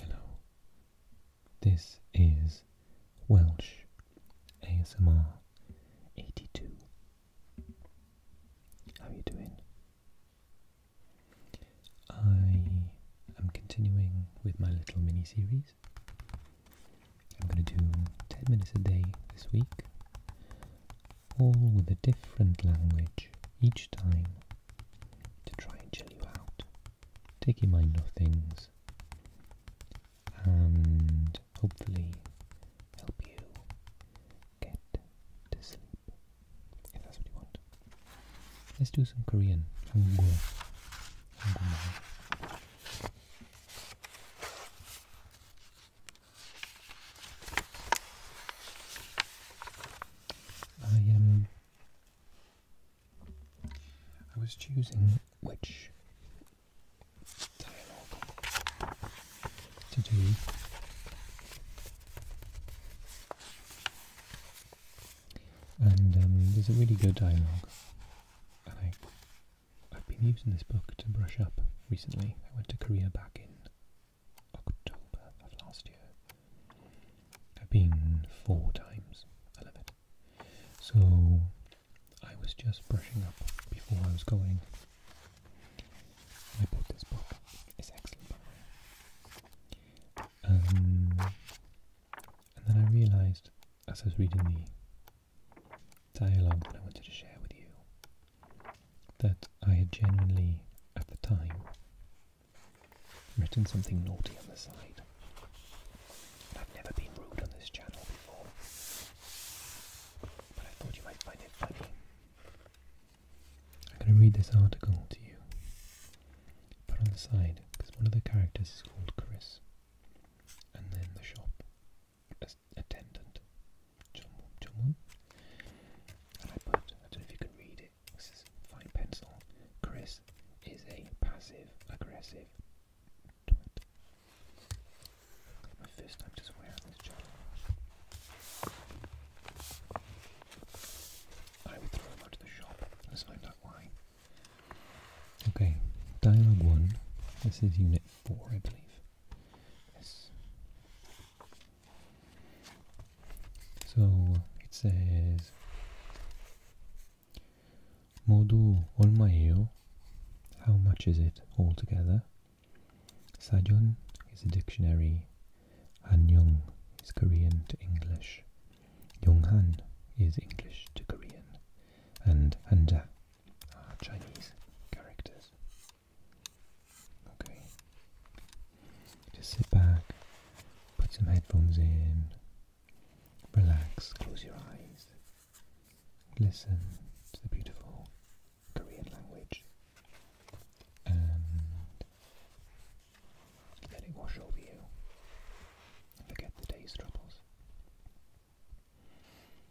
Hello, this is Welsh ASMR 82. How are you doing? I am continuing with my little mini series. I'm going to do 10 minutes a day this week all with a different language each time to try and chill you out. Take your mind off things and hopefully help you get to sleep if that's what you want. Let's do some Korean. I um, I was choosing which dialogue to do. And um, there's a really good dialogue, and I, I've been using this book to brush up recently. I went to Korea back in October of last year. I've been four times. I love it. So I was just brushing up before I was going. I bought this book. It's excellent, um, and then I realized, as I was reading the dialogue that I wanted to share with you, that I had genuinely, at the time, written something naughty on the side. I've never been rude on this channel before, but I thought you might find it funny. I'm going to read this article to you, put on the side, because one of the characters is called Chris, and then the shop attendant, John, and I put, I don't know if you can read it, this is fine pencil, Chris is a passive aggressive My first time to swear on this channel. I would throw him out of the shop, let's find out why. Okay, dialogue one, this is unit four I believe. Yes. So it says Modu Olmayo. How much is it altogether? Sajon is a dictionary. Han Young is Korean to English. Yonghan is English to Korean. And Hanja uh, Chinese characters. Okay, just sit back, put some headphones in, relax, close your eyes, listen to the beautiful Korean language, and let it wash over you. Forget the day's troubles.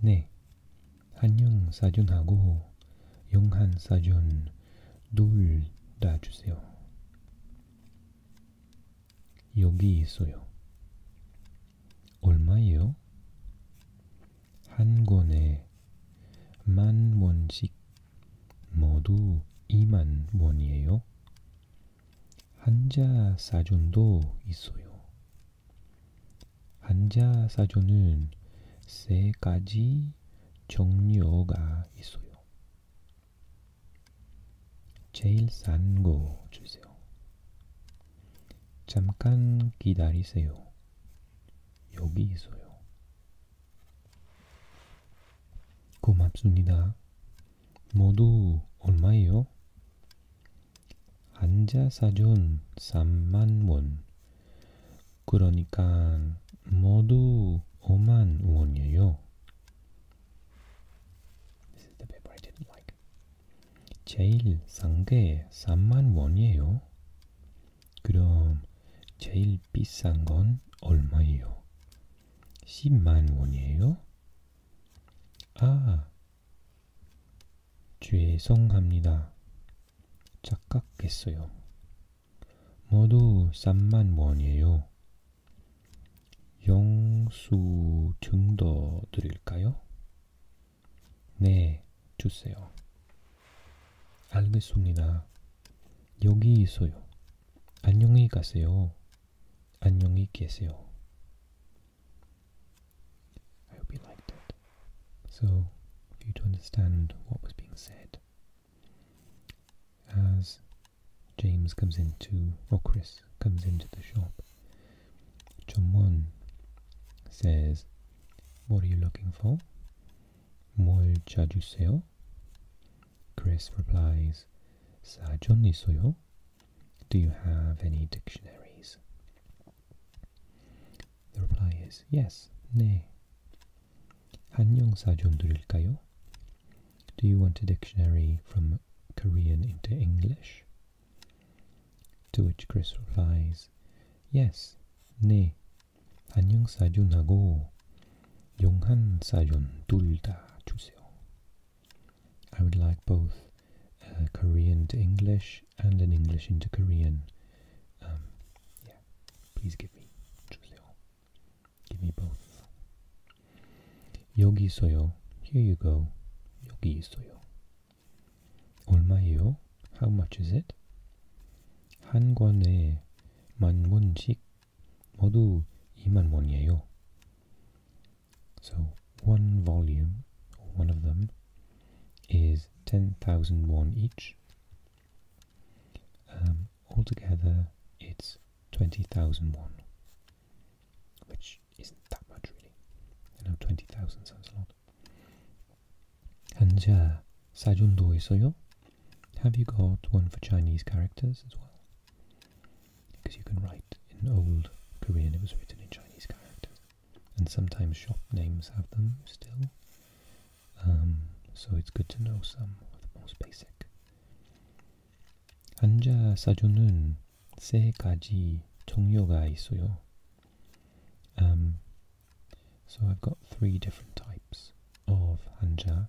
네, 한영 사전하고 영한 사전 둘 다 주세요. 여기 있어요. 얼마예요? 한 권에 만 원씩 모두 2만 원이에요. 한자 사전도 있어요. 한자사전은 세 가지 종류가 있어요. 제일 싼 거 주세요. 잠깐 기다리세요. 여기 있어요. 고맙습니다. 모두 얼마예요? 앉아 사준 3만 원. 그러니까 모두 5만 원이에요. Like. 제일 싼게 3만 원이에요. 그럼 제일 비싼 건 얼마예요? 10만 원이에요? 아, 죄송합니다. 착각했어요. 모두 3만 원이에요. 영수증도 드릴까요? 네, 주세요. 알겠습니다. 여기 있어요. 안녕히 가세요. 안녕히 계세요. I hope you liked it. So, for you to understand what was being said, as James comes into, or Chris comes into the shop, Chumwon says, What are you looking for? 뭘 찾으세요? Chris replies, 사전 있어요. Do you have any dictionaries? The reply is yes, 네. 한영사전 들을까요? Do you want a dictionary from Korean into English? To which Chris replies, yes, 네. 한영사전하고 sa 둘다 주세요. I would like both uh, Korean to English and an English into Korean. Um, yeah, please give me. Choose Give me both. Yogi Here you go. Yogi 얼마예요? How much is it? 한 권에 만 원씩 모두 2만 원이에요. So one volume, or one of them, is ten thousand one each. Um, altogether, it's twenty thousand one, which isn't that much really. I know 20,000 sounds a lot. 한자 사준도 있어요? Have you got one for Chinese characters as well? because you can write in old Korean, it was written in Chinese characters, and sometimes shop names have them still. Um, so it's good to know some of the most basic. 한자 사전은 세 가지 종류가 있어요. Um, so I've got three different types of hanja,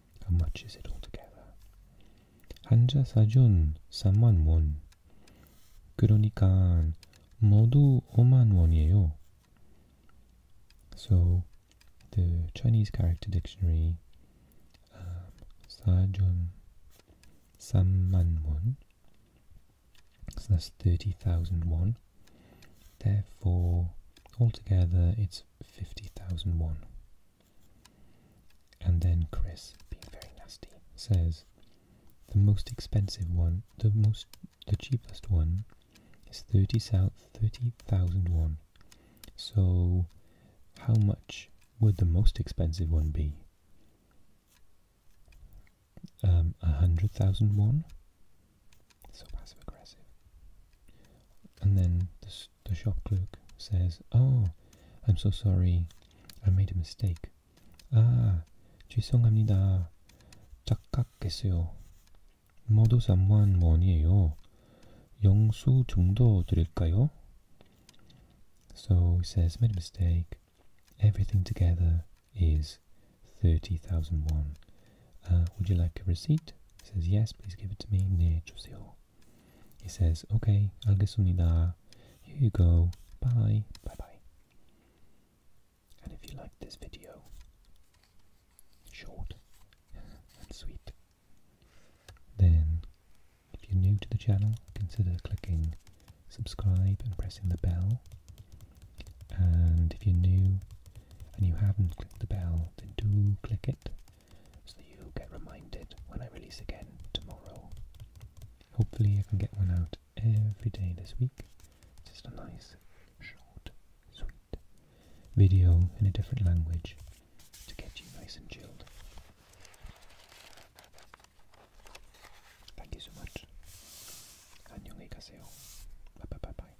How much is it altogether? 한자 사전 3만 원. 그러니까 모두 5만 원이에요. So the Chinese character dictionary um, 사전 3만 원. So that's 30,000 won. Therefore, altogether it's 50,000 won. And then Chris, being very nasty, says the most expensive one, the most, the cheapest one, is thirty south, thirty thousand one. So, how much would the most expensive one be? Um, a hundred thousand one. So passive aggressive. And then the shop clerk says, Oh, I'm so sorry, I made a mistake. 아, ah, 죄송합니다. 착각했어요. 모두 3만 원이에요. 영수 드릴까요? So he says, made a mistake. Everything together is 30,000 won. Uh, would you like a receipt? He says, yes, please give it to me. 주세요. He says, okay, 알겠습니다. Here you go. Bye. Bye-bye. And if you liked this video, short and sweet, then if you're new to the channel, consider clicking subscribe and pressing the bell. And if you're new and you haven't clicked the bell, then do click it so that you get reminded when I release again tomorrow. Hopefully, I can get one out every day this week. Just a nice, short, sweet video in a different language to get you nice and chilled. Thank you so much. 안녕히 Bye bye bye bye.